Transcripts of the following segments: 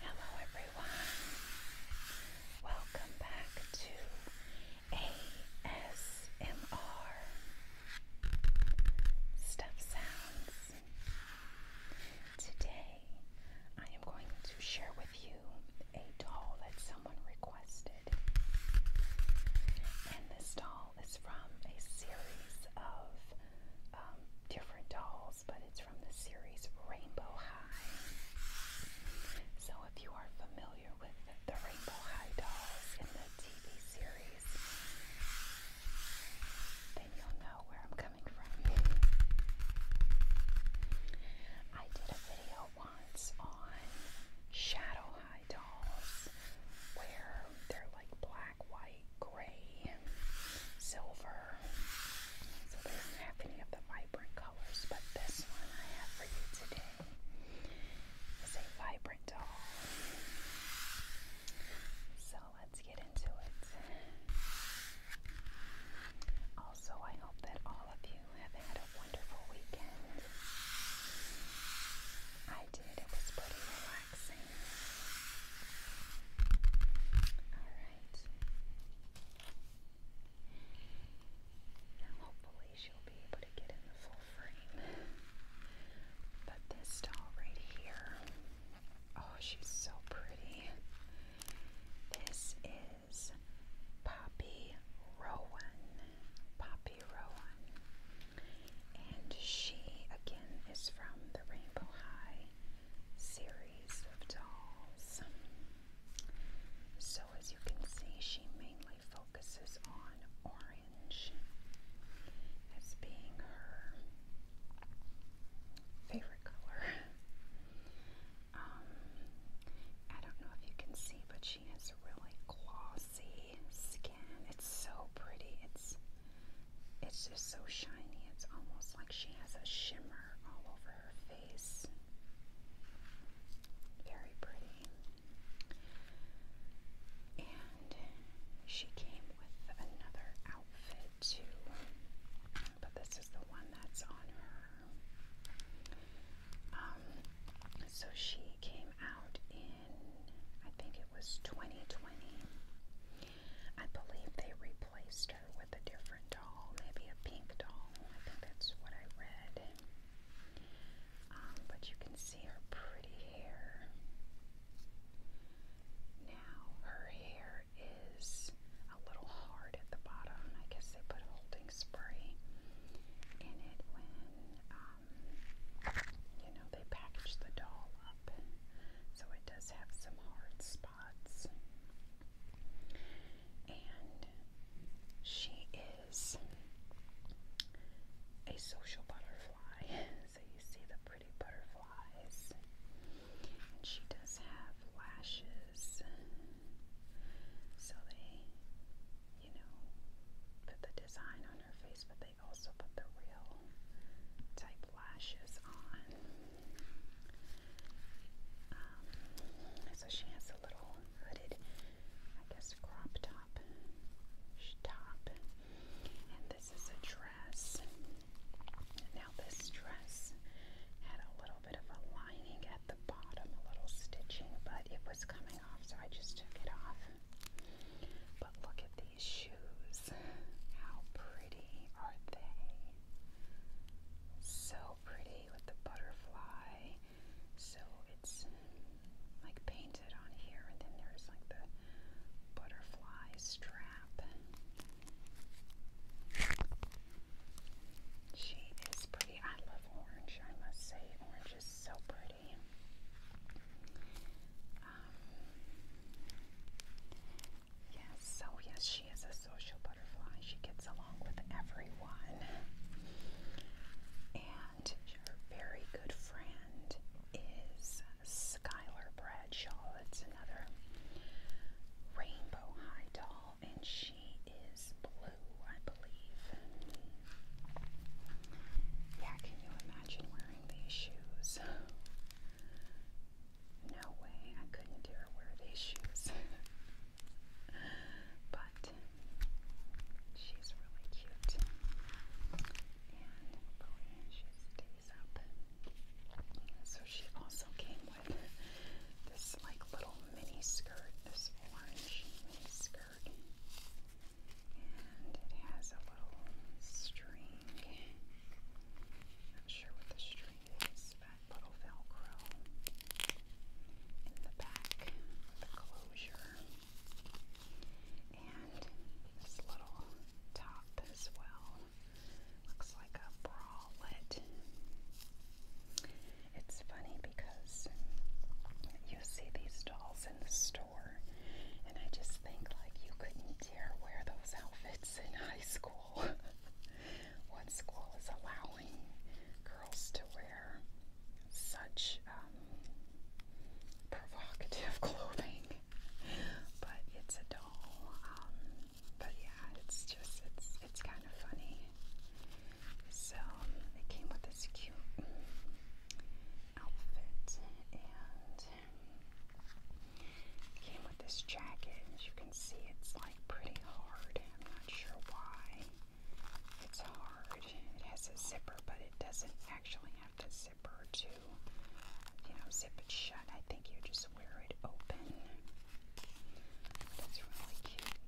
Hello everyone. Welcome back to ASMR Stuff Sounds. Today I am going to share with you a doll that someone requested. And this doll doll from a series of um, different dolls, but it's from the series Rainbow High. So if you are familiar with the Rainbow High dolls in the TV series, then you'll know where I'm coming from. I did a video once on Shadow High dolls where they're like black white, gray, silver. So they not any of the vibrant colors, but this one I have for you today is a vibrant doll. So let's get into it. Also, I hope that all of you have had a wonderful weekend. I it was pretty relaxing. Alright. hopefully, she'll be able to get in the full frame. But this doll right here oh, she's so pretty. This is Poppy Rowan. Poppy and she, again, is from the Rainbow High series of dolls. So, as you can see, she mainly focuses on orange as being her favorite color. Um, I don't know if you can see, but she has really gloss see skin. It's so pretty. It's it's just so shiny. It's almost like she has a shimmer all over her face. Very pretty. And she came with another outfit too. But this is the one that's on her. Um so she came came out in, I think it was 2020. I believe they replaced her with a different doll, maybe a pink doll. I think that's what I read. Um, but you can see her pretty hair. Now her hair is a little hard at the bottom. I guess they put holding like spray in it when um, you know they package the doll up, so it does have some hard spots. And she is a social butterfly, so you see the pretty butterflies, and she does have lashes. So they, you know, put the design on her face, but they also put the real type lashes on. Um, so she has a little hooded, I guess, crop top top, and this is a dress. Now this dress had a little bit of a lining at the bottom, a little stitching, but it was coming off, so I just took it off. But look at these shoes. How pretty are they? So pretty with the butterfly. So it's like painted on here, and then there's like the butterfly strap. She is pretty. I love orange, I must say. Orange is so pretty. Um, yes, so yes, she is a social butterfly. She gets along with everyone. And her very good friend is Skylar Bradshaw. It's another rainbow high doll, and she she is blue, I believe. Yeah, can you imagine wearing these shoes? No way, I couldn't dare wear these shoes. but she's really cute. And hopefully oh she stays up. So she also came this like little mini skirt, this orange mini skirt. And it has a little string. Not sure what the string is, but little velcro in the back the closure. And this little top as well. Looks like a bralette. It's funny because you see these dolls in the store, and I just think like you couldn't dare wear those outfits in high school. what school is allowing girls to wear such um, provocative clothing? But it's a doll. Um, but yeah, it's just it's it's kind of funny. So it came with this cute outfit and came with this jacket. As you can see, it's like pretty hard. I'm not sure why it's hard. It has a zipper, but it doesn't actually have to zipper to you know zip it shut. I think you just wear it open. That's really cute.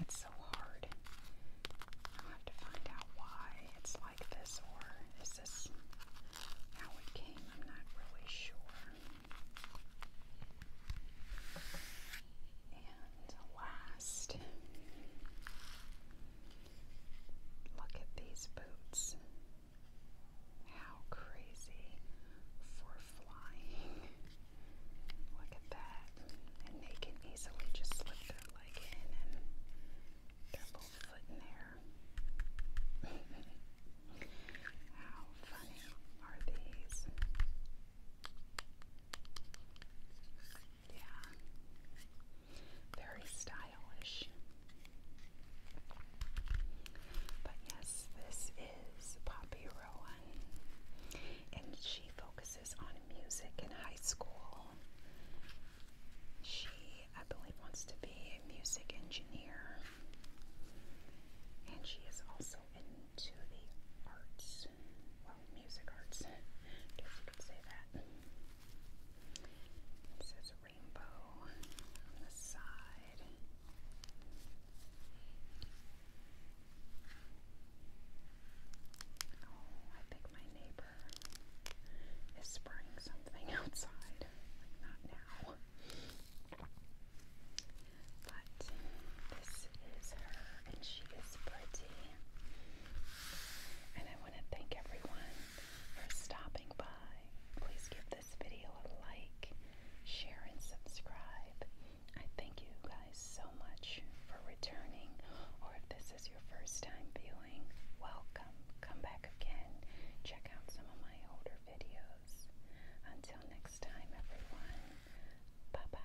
It's so hard. I'll have to find out why it's like this, or is this how it came? I'm not really sure. And last, Look at these boots. How crazy for flying. Look at that. And they can easily just slip their leg in and their foot in there. How funny are these? Yeah. Very stylish. But yes, this is Poppy Rowan. And she focuses on music in high school. She, I believe, wants to be a music engineer. And she is also into the arts. Well, music arts, guess you could say that. It says rainbow on the side. Oh, I think my neighbor is spraying something outside. not now. But this is her, and she is pretty. And I want to thank everyone for stopping by. Please give this video a like, share, and subscribe. I thank you guys so much for returning, or if this is your first time viewing, welcome. Come back again. Check out some of my older videos. Until next time, everyone, bye bye.